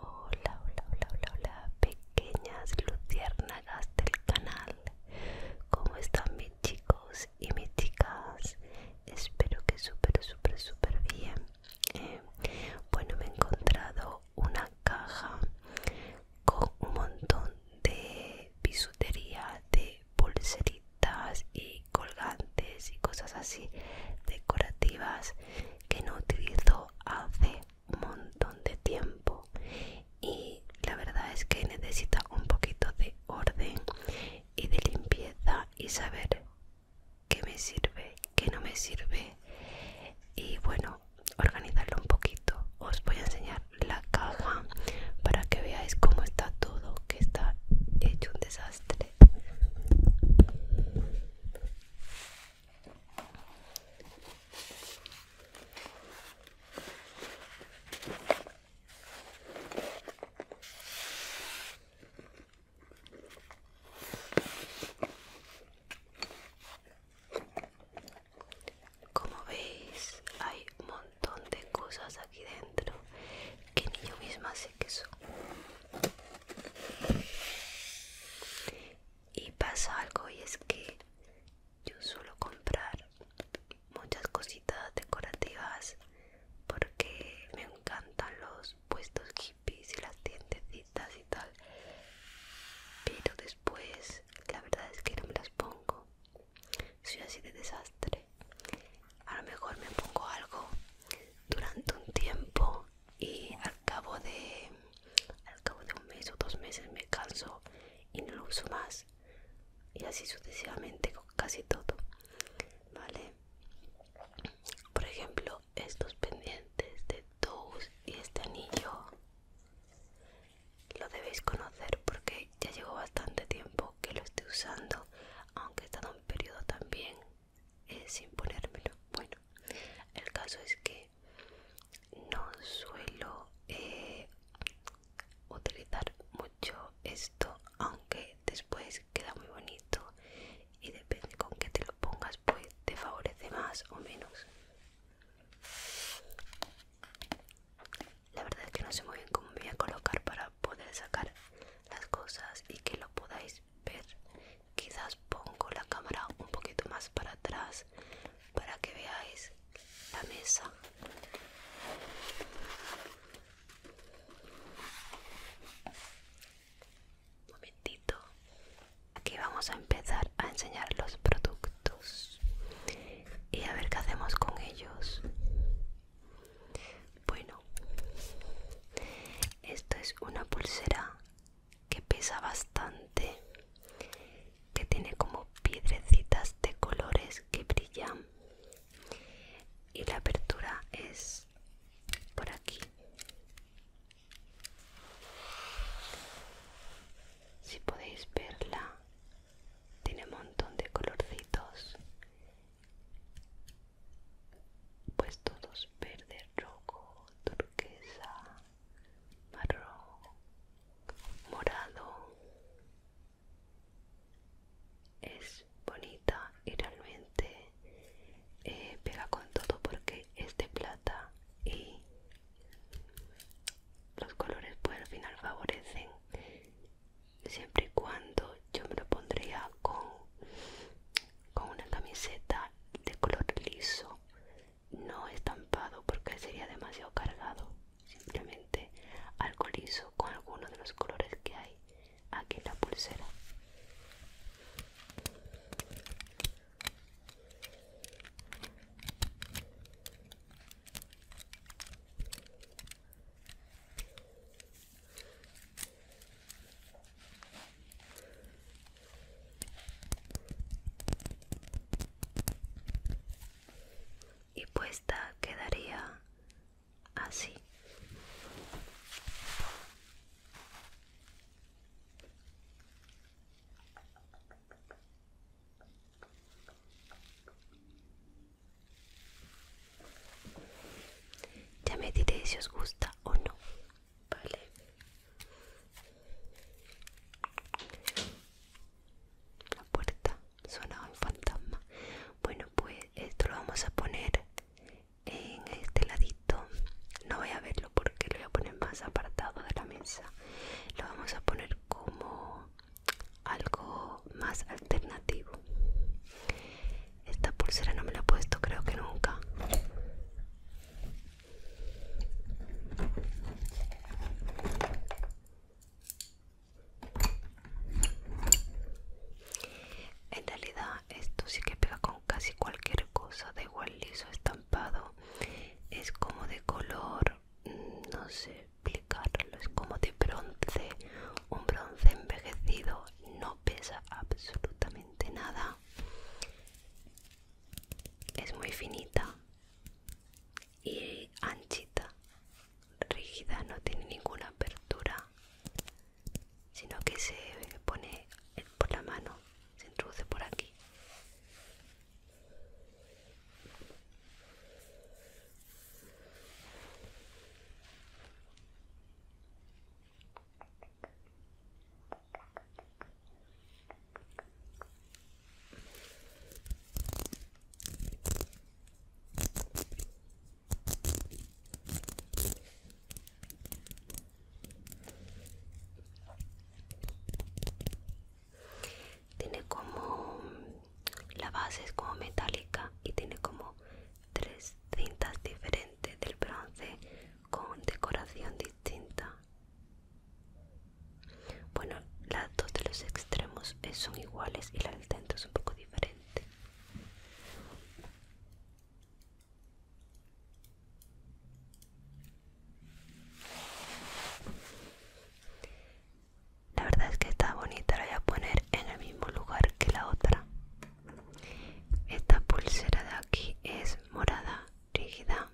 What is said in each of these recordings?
Hola, hola, hola, hola, pequeñas luciérnagas del canal. ¿Cómo están mis chicos y mis chicas? Espero que súper, súper, súper bien eh, Bueno, me he encontrado una caja con un montón de bisutería, de pulseritas y colgantes y cosas así decorativas que no utilizo hace montón de tiempo y la verdad es que necesita un poquito de orden y de limpieza y saber qué me sirve, qué no me sirve y bueno, organizarlo un poquito. Os voy a enseñar la caja para que veáis cómo está todo, que está hecho un desastre. Como veis, hay un montón de cosas aquí dentro que ni yo misma sé que son y pasa algo y es que yo suelo comprar muchas cositas decorativas porque me encantan los puestos hippies y las tiendecitas y tal pero después la verdad es que no me las pongo soy así de desastre a lo mejor me pongo algo durante un tiempo y acabo de al cabo de un mes o dos meses me canso y no lo uso más y así sucesivamente con casi todo vale por ejemplo estos pendientes de toes y este anillo lo debéis conocer porque ya llevo bastante tiempo que lo estoy usando aunque he estado un periodo también eh, sin ponérmelo bueno el caso es que no suelo eh, utilizar mucho esto aunque después queda muy bonito y depende con qué te lo pongas pues te favorece más o menos la verdad es que no sé muy bien cómo voy a colocar para poder sacar las cosas y que lo podáis ver quizás pongo la cámara un poquito más para atrás para que veáis la mesa un momentito aquí vamos a empezar a enseñar los productos y a ver qué hacemos con ellos bueno esto es una pulsera que pesa bastante que tiene como piedrecitas de colores que brillan y la apertura es por aquí si podéis verla tiene un montón de colorcitos pues todos verde rojo turquesa marrón morado es bonita y realmente eh, pega con todo porque es de plata y los colores pues al final favorecen siempre y cuando yo me lo pondría con, con una camiseta de color liso no estampado porque sería demasiado cargado simplemente alcoholizo con alguno de los colores que hay aquí en la pulsera y puesta quedaría así ya me diré si os gusta o no vale la puerta suena un fantasma bueno pues esto lo vamos a poner en este ladito no voy a verlo porque lo voy a poner más apartado de la mesa lo vamos a poner como algo más alternativo esta pulsera no me la he puesto creo que nunca en realidad esto sí que pega con casi cualquier cosa, de igual liso, estampado, es como de color, mm, no sé explicarlo, es como de bronce, un bronce envejecido, no pesa absolutamente nada, es muy finita y anchita, rígida, no tiene ninguna apertura, sino que se pone por la mano, se introduce por aquí. Tiene como la base es como metálica y tiene como tres cintas diferentes del bronce con decoración distinta bueno, las dos de los extremos eh, son iguales y la del centro es un poco diferente. La verdad es que está bonita, la voy a poner en el mismo lugar que la otra. Esta pulsera de aquí es morada rígida.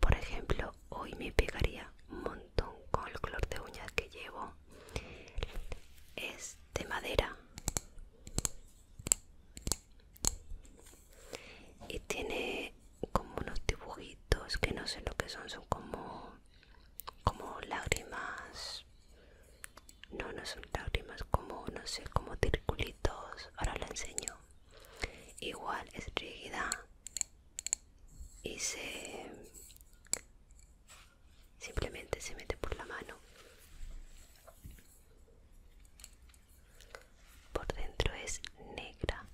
Por ejemplo, hoy me pegaría un montón con el color de uñas que llevo es de madera y tiene como unos dibujitos que no sé lo que son son como como lágrimas no no son lágrimas como no sé como circulitos ahora lo enseño igual es rígida y se simplemente se mete por la mano por dentro es negra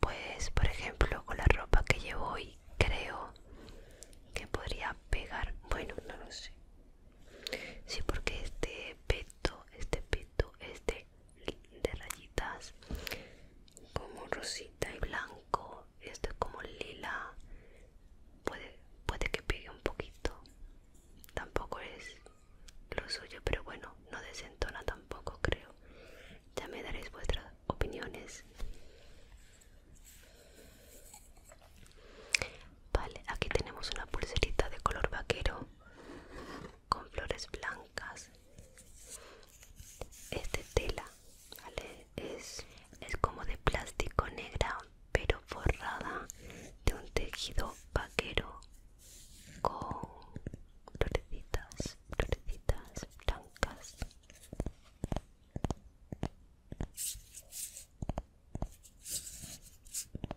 pues, por ejemplo, con la ropa que llevo hoy, creo que podría pegar. Bueno, no lo sé. Sí, porque este peto, este peto, este de rayitas como rosita y blanco esto es como lila puede, puede que pegue un poquito tampoco es lo suyo pero bueno no desentona tampoco creo ya me daréis vuestras opiniones vale aquí tenemos una pulserita de color vaquero con flores blancas este tela es, es como de plástico negra pero forrada de un tejido vaquero con florecitas florecitas blancas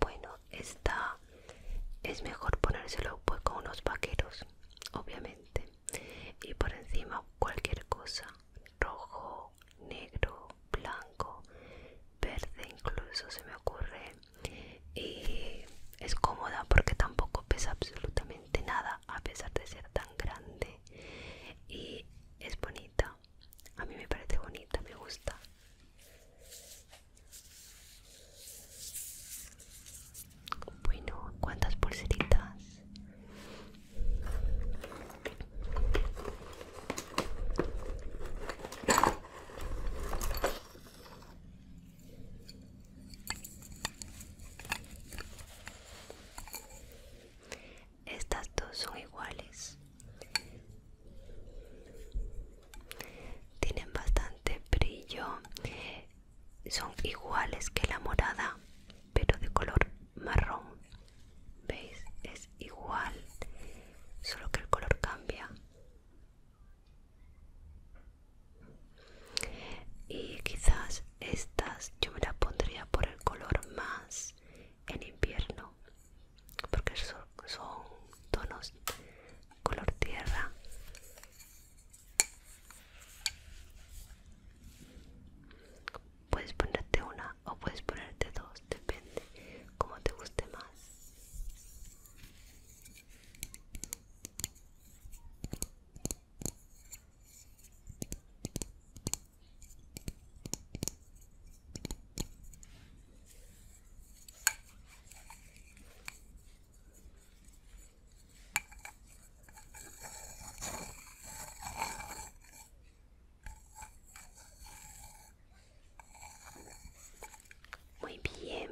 Bueno, esta es mejor ponérselo pues, con unos vaqueros, obviamente. Y por encima cualquier cosa, rojo, negro, blanco, verde incluso se me ocurre. Y es cómoda porque tampoco pesa absolutamente nada a pesar de ser tan grande. Y es bonita. A mí me parece bonita, me gusta. Bueno, ¿cuántas pulseritas? Estas dos son iguales. Tienen bastante brillo. Son iguales que la morada, pero de color marrón. ¿Veis? Es igual, solo que el color cambia. Y quizás estas yo me las pondría por el color más en invierno porque son, tonos color tierra puedes ponerte una o puedes ponerte dos depende como te guste más muy bien,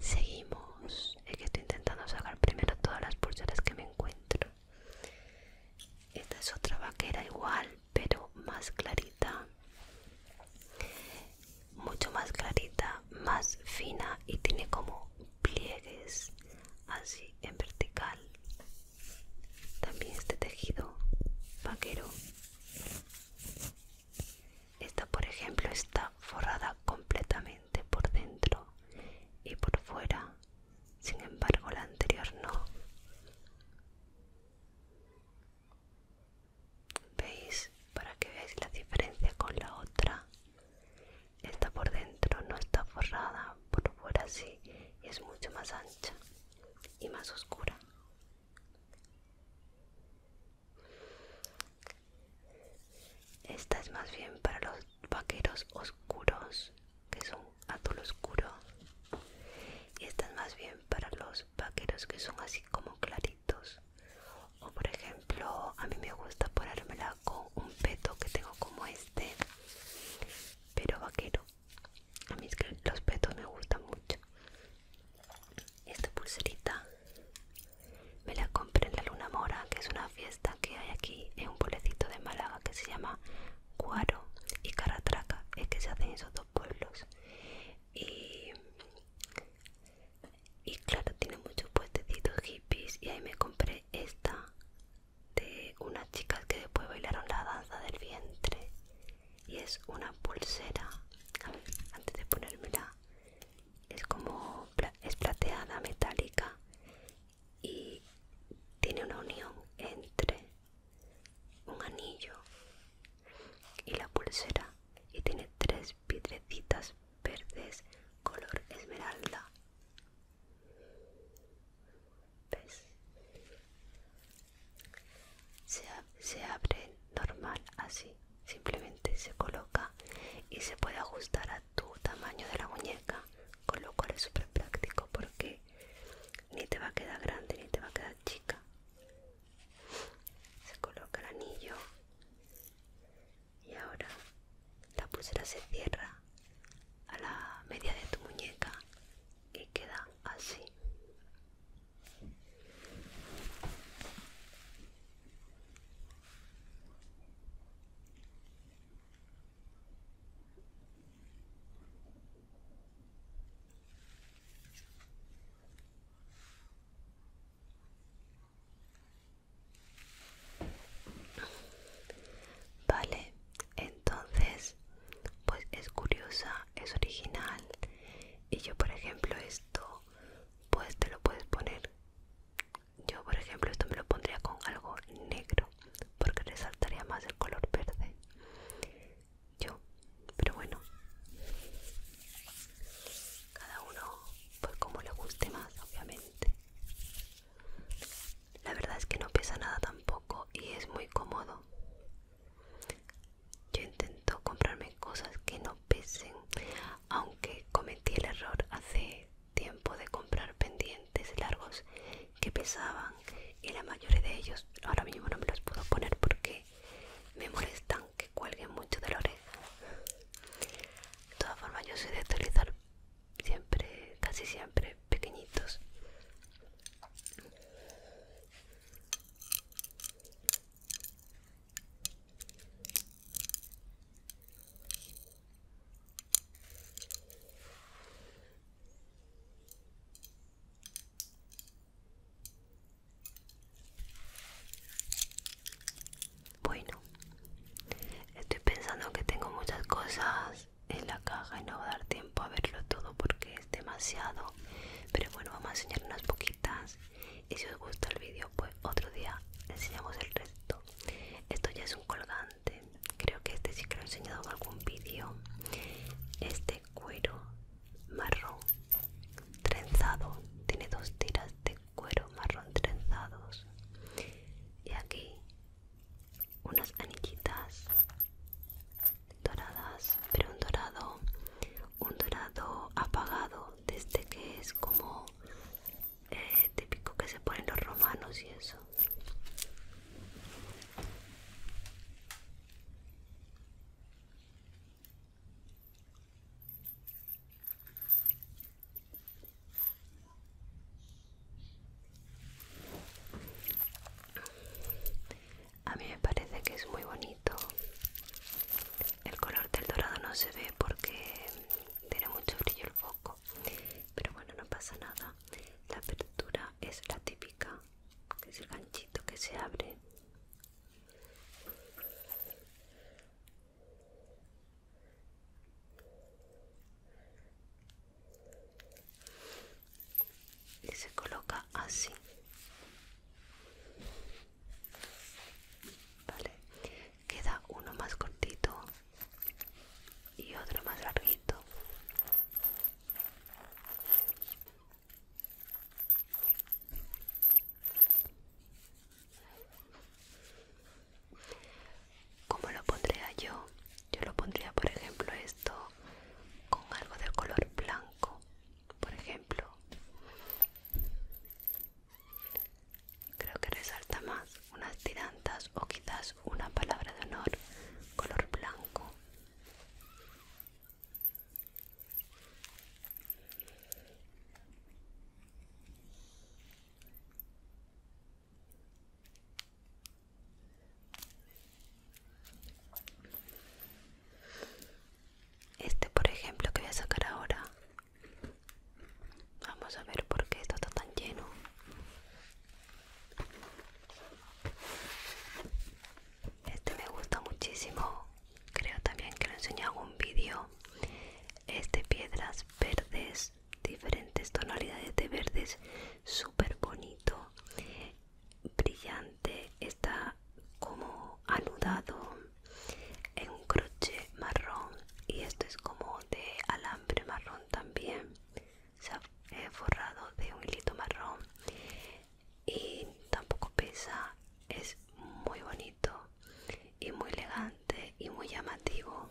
seguimos. Es que estoy intentando sacar primero todas las pulseras que me encuentro. Esta es otra vaquera igual pero más clarita mucho más clarita más fina y tiene como pliegues así en vertical también este tejido vaquero esta por ejemplo está forrada completamente por dentro y por fuera sin embargo la anterior no ¿Veis? Para que veáis la diferencia con la otra. Esta por dentro no está forrada, por fuera sí, y es mucho más ancha y más oscura. Esta es más bien para los vaqueros oscuros que son un azul oscuro y esta es más bien para los vaqueros que son así como claritos o por ejemplo a mí me gusta ponérmela con un peto que tengo como este pero vaquero a mí es que los petos me gustan mucho esta pulserita me la compré en la luna mora que es una fiesta que hay aquí en un pueblecito de Málaga que se llama Cuaro y Caratraca es que se hacen esos dos pueblos y, claro tiene muchos puestecitos hippies y ahí me compré esta de unas chicas que después bailaron la danza del vientre y es una pulsera antes de ponérmela es como es plateada metálica y tiene una unión entre un anillo y la pulsera y tiene tres piedrecitas verdes color esmeralda Se, se abre normal así simplemente se coloca y se puede ajustar a tu tamaño de la muñeca con lo cual es súper práctico porque ni te va a quedar grande ni te va a quedar chica se coloca el anillo y ahora la pulsera se cierra a la media de tu muñeca y queda así Vale, entonces, pues es curiosa, es original. Y yo, por ejemplo, esto, pues te lo puedes poner. Yo, por ejemplo, esto me lo pondría con algo negro, porque resaltaría más el color verde yo pero bueno cada uno pues como le guste más obviamente la verdad es que no pesa nada tampoco y es muy cómodo yo intento comprarme cosas que no pesen aunque cometí el error hace tiempo de comprar pendientes largos que pesaban y la mayoría de ellos ahora mismo no me los puedo poner porque me molestan que cuelguen mucho de la oreja. De todas formas yo soy de utilizar siempre, casi siempre, pequeñitos. Bueno, estoy pensando que tengo muchas cosas en la caja y no va a dar tiempo a verlo todo porque es demasiado. Pero bueno, vamos a enseñar unas poquitas. Y si os gusta el vídeo, pues otro día enseñamos el resto. Esto ya es un colgante. Creo que este sí que lo he enseñado en algún vídeo. Este cuero marrón trenzado tiene dos tiras de cuero marrón trenzados y aquí unas anillitas doradas pero un dorado un dorado apagado desde que es como eh, típico que se ponen los romanos y eso a mí me parece que es muy bonito. El color del dorado no se ve porque tiene mucho brillo el foco, pero bueno, no pasa nada. La apertura es la típica que es el ganchito que se abre y se coloca así vale queda uno más cortito y otro más larguito ¿Cómo lo pondría yo? Yo lo pondría, por ejemplo, esto con algo de color blanco, por ejemplo. Creo que resalta más unas tirantas o quizás una palabra de honor color blanco. Este, por ejemplo, que voy a sacar ahora. Vamos a ver por qué esto está tan lleno este me gusta muchísimo creo también que lo enseñé en algún vídeo es de piedras verdes diferentes tonalidades de verdes súper bonito brillante está como anudado en un crochet marrón y esto es como de alambre marrón también se ha forrado de un hilito marrón y tampoco pesa es muy bonito y muy elegante y muy llamativo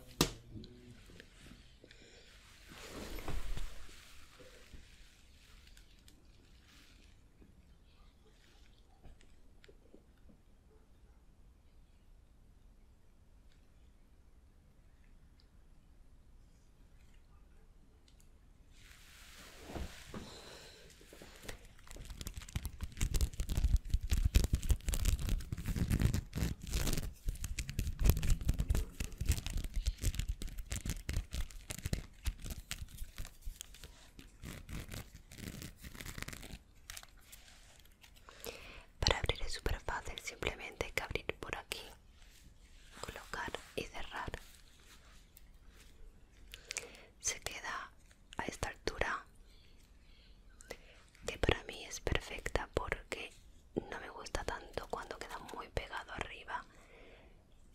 para abrir es súper fácil, simplemente hay que abrir por aquí colocar y cerrar se queda a esta altura que para mí es perfecta porque no me gusta tanto cuando queda muy pegado arriba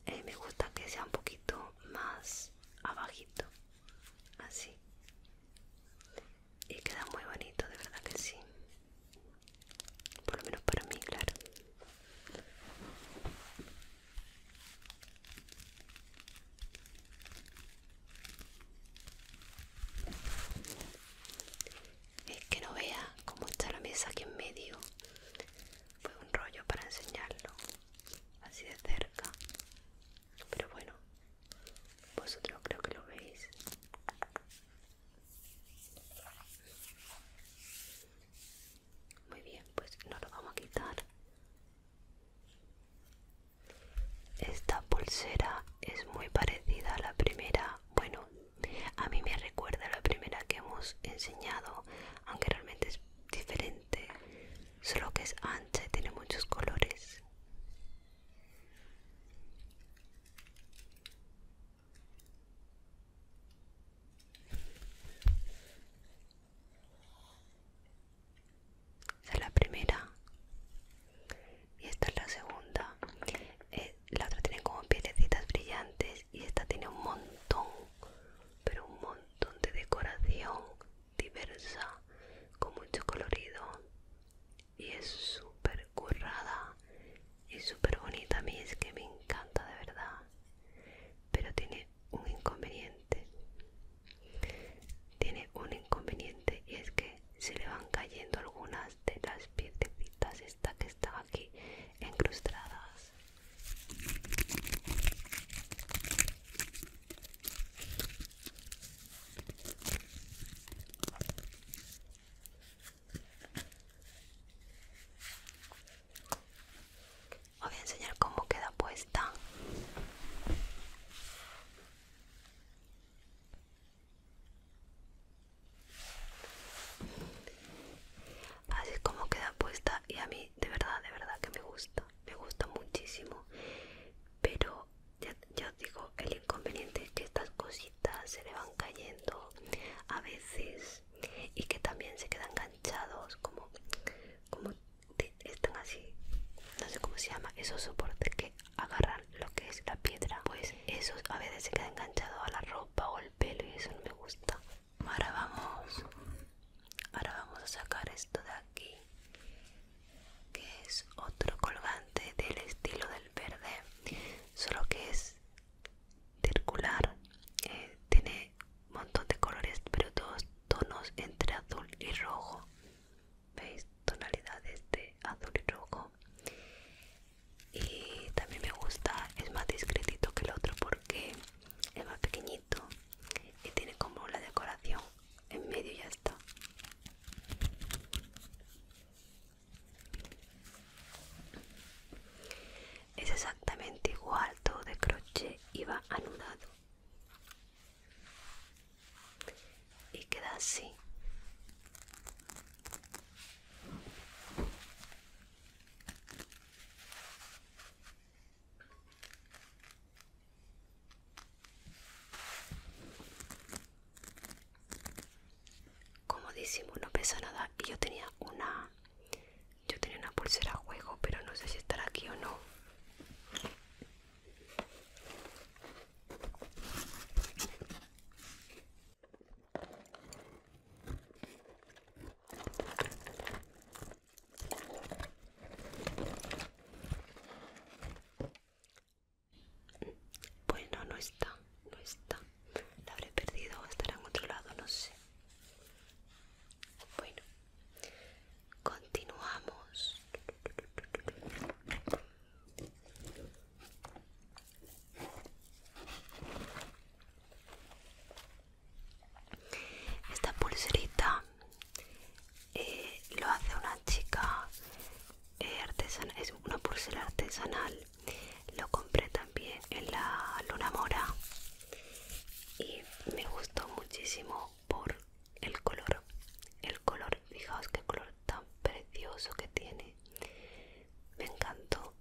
eh, me gusta que sea un poquito más abajito así y queda muy bonito de verdad que sí por lo menos para mí, claro. Es que no vea cómo está la mesa aquí en medio. Fue un rollo para enseñarlo así de cerca. Pero bueno, vosotros creo que lo veis. Muy bien, pues no lo vamos a quitar. Esta pulsera es muy parecida a la primera. Bueno, a mí me recuerda a la primera que hemos enseñado, aunque realmente es diferente. Solo que es ancha y tiene muchos colores. Esta es la primera. Y esta es la segunda. Eh, la otra tiene como piezas brillantes. Y esta tiene un montón, pero un montón de decoración diversa, con mucho colorido. Y es súper currada. Es súper bonita a mí, es que me encanta de verdad. Pero tiene un inconveniente. Tiene un inconveniente y es que se le van cayendo algunas de las piezas esta que estaba aquí encrustadas. Os voy a enseñar cómo queda puesta. Así es como queda puesta y a mí de verdad, de verdad que me gusta, me gusta muchísimo. Pero ya, ya os digo, el inconveniente es que estas cositas se le van cayendo a veces y que también se quedan enganchados como como están así no sé cómo se llama esos soportes que agarran lo que es la piedra pues esos a veces se queda enganchado a la ropa o el pelo y eso no me gusta ahora vamos ahora vamos a sacar esto de aquí que es otro colgante del estilo del verde solo que es circular eh, tiene un montón de colores pero todos tonos entre azul y rojo veis tonalidades de azul y rojo y también me gusta es más discretito que el otro porque es más pequeñito y tiene como la decoración en medio ya está es exactamente igual todo de crochet y va anudado y queda así como decimos no pesa nada y yo tenía una yo tenía una pulsera juego, pero no sé si estará aquí o no. Bueno, no está, no está. La habré perdido o estará en otro lado, no sé. Bueno, continuamos. Esta pulserita eh, lo hace una chica eh, artesana, es una pulsera artesanal lo compré también en la luna mora y me gustó muchísimo por el color el color fijaos qué color tan precioso que tiene me encantó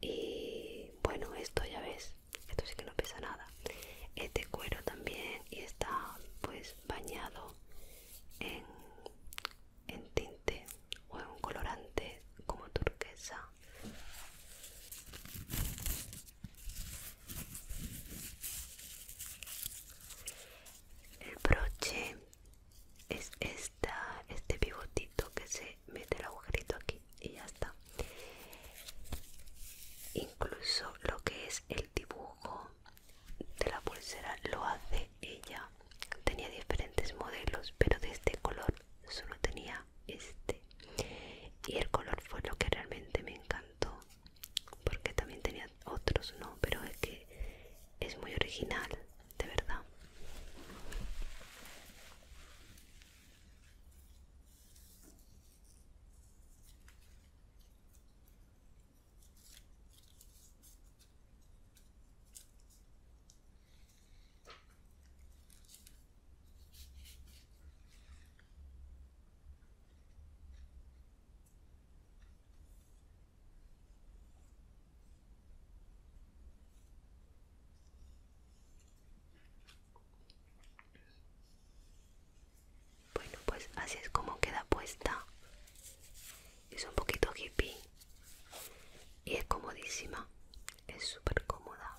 y bueno esto ya ves esto sí que no pesa nada este cuero también y está pues bañado en, en tinte o un colorante como turquesa el broche es esta, este pivotito que se mete el agujerito aquí y ya está incluso lo que es el dibujo de la pulsera lo hace ella tenía diferentes modelos pero de este color solo tenía este y el color fue lo que realmente me encantó porque también tenía otros no pero es que es muy original de verdad bueno, pues así es como queda puesta. Es un poquito hippie y es comodísima es súper cómoda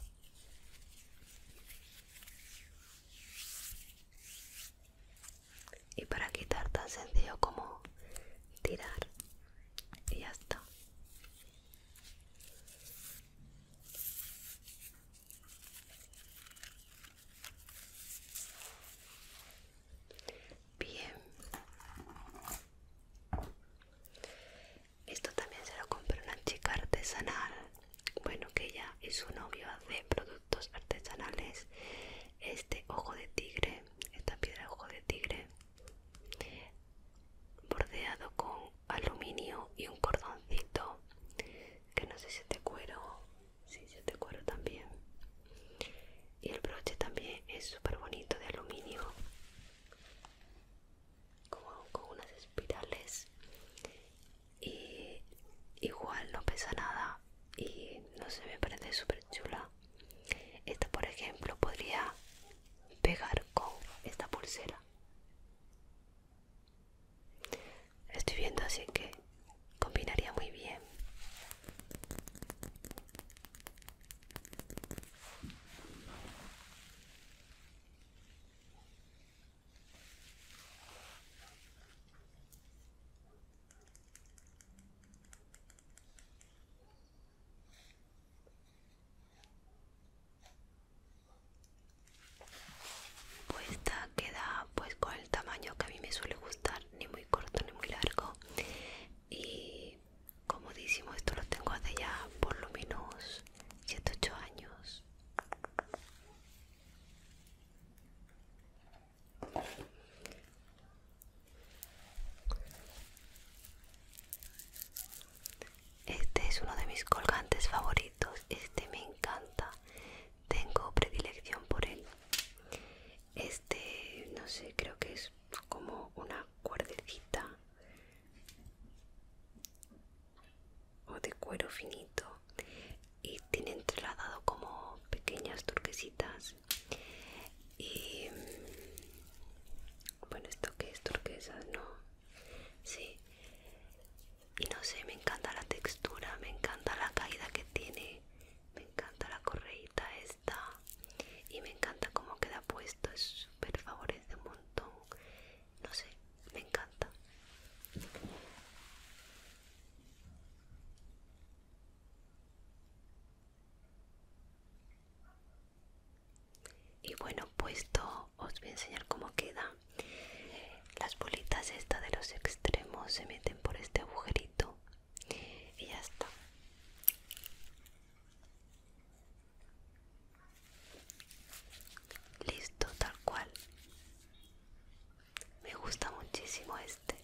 y para quitar tan sencillo como tirar y ya está Bien, esto también se lo compré una chica artesanal. Bueno, que ella y su novio hacen productos artesanales. Este ojo de tigre, esta piedra ojo de tigre, bordeado con aluminio y un cordoncito, que no sé si es de cuero, si sí, es de cuero también. Y el broche también es súper bonito de aluminio como con unas espirales y igual no pesa nada y no se me parece súper chula esta por ejemplo podría pegar con esta pulsera estoy viendo así que combinaría muy bien pues esta queda pues con el tamaño que a mí me suele gustar, ni muy corto ni muy largo. Y comodísimo esto lo tengo hace ya por lo menos 7 8 años este es uno de mis colgantes favoritos este me encanta tengo predilección por él este no sé creo que es como una cuerdecita o de cuero finito y tiene entrelazado como pequeñas turquesitas y bueno esto que es turquesas no sí y no sé me encanta la textura me encanta la caída que tiene me encanta la correita esta y me encanta cómo queda puesto es súper favorece un montón no sé, me encanta. Y bueno, puesto os voy a enseñar cómo queda. Las bolitas esta de los extremos se meten por este agujerito y ya está. Listo, tal cual. Me gusta muchísimo este.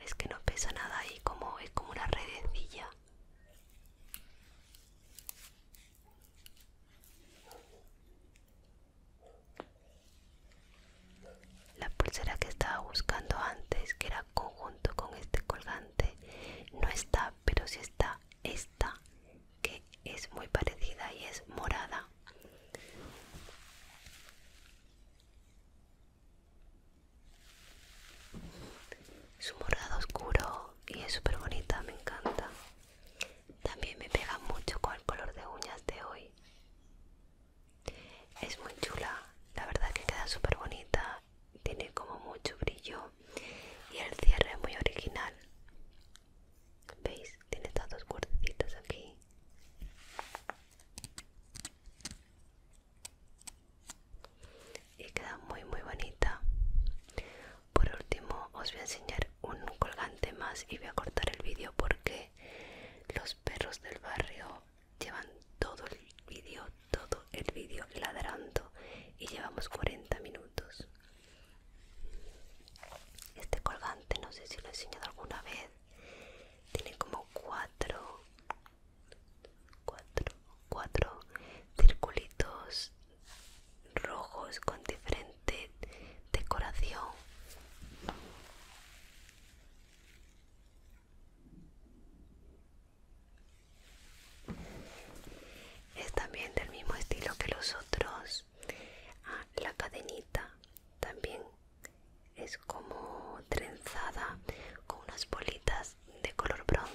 Es que no pesa nada ahí como es como una redecilla. La pulsera que estaba buscando antes, que era conjunto con este colgante, no está, pero sí está esta, que es muy parecida y es morada. Su un morado oscuro y es súper bonita, me encanta. También me pega mucho con el color de uñas de hoy. Es muy chula, la verdad que queda súper bonita, tiene como mucho brillo y el cierre es muy original. ¿Veis? Tiene estos dos cuerdecitas aquí y queda muy muy bonita por último os voy a enseñar un colgante más y voy a cortar el vídeo porque los perros del barrio llevan todo el vídeo todo el vídeo ladrando y llevamos 40 minutos este colgante no sé si lo he enseñado alguna vez tiene como 4 cuatro, cuatro circulitos rojos con diferente decoración es también del mismo estilo que los otros ah, la cadenita también es como trenzada con unas bolitas de color bronce.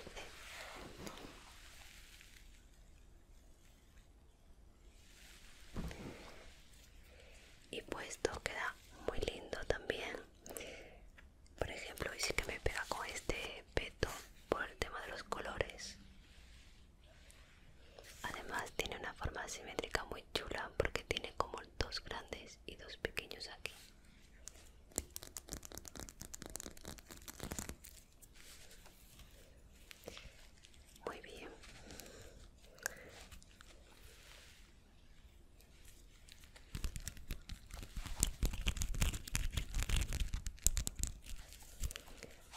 Y puesto queda muy lindo también. Por ejemplo, y sí que me pega con este peto por el tema de los colores. Además tiene una forma simétrica muy chula porque tiene como dos grandes y dos pequeños aquí. Muy bien.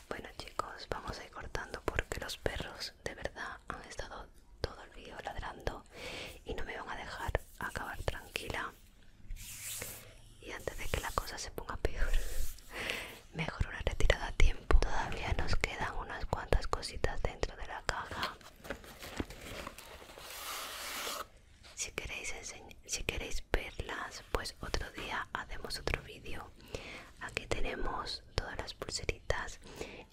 Bueno chicos, vamos a ir cortando porque los perros de verdad han estado todo el vídeo ladrando y no me van a dejar acabar tranquila y antes de que la cosa se ponga peor, mejor una retirada a tiempo. Todavía nos quedan unas cuantas cositas dentro de la caja. Si queréis, si queréis verlas, pues otro día hacemos otro vídeo. Aquí tenemos todas las pulseritas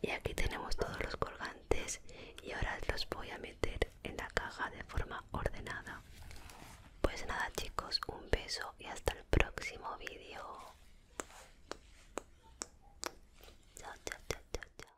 y aquí tenemos todos los colgantes y ahora los voy a meter en la caja de forma ordenada. Pues nada chicos, un beso y hasta el próximo vídeo. chao, chao, chao, chao.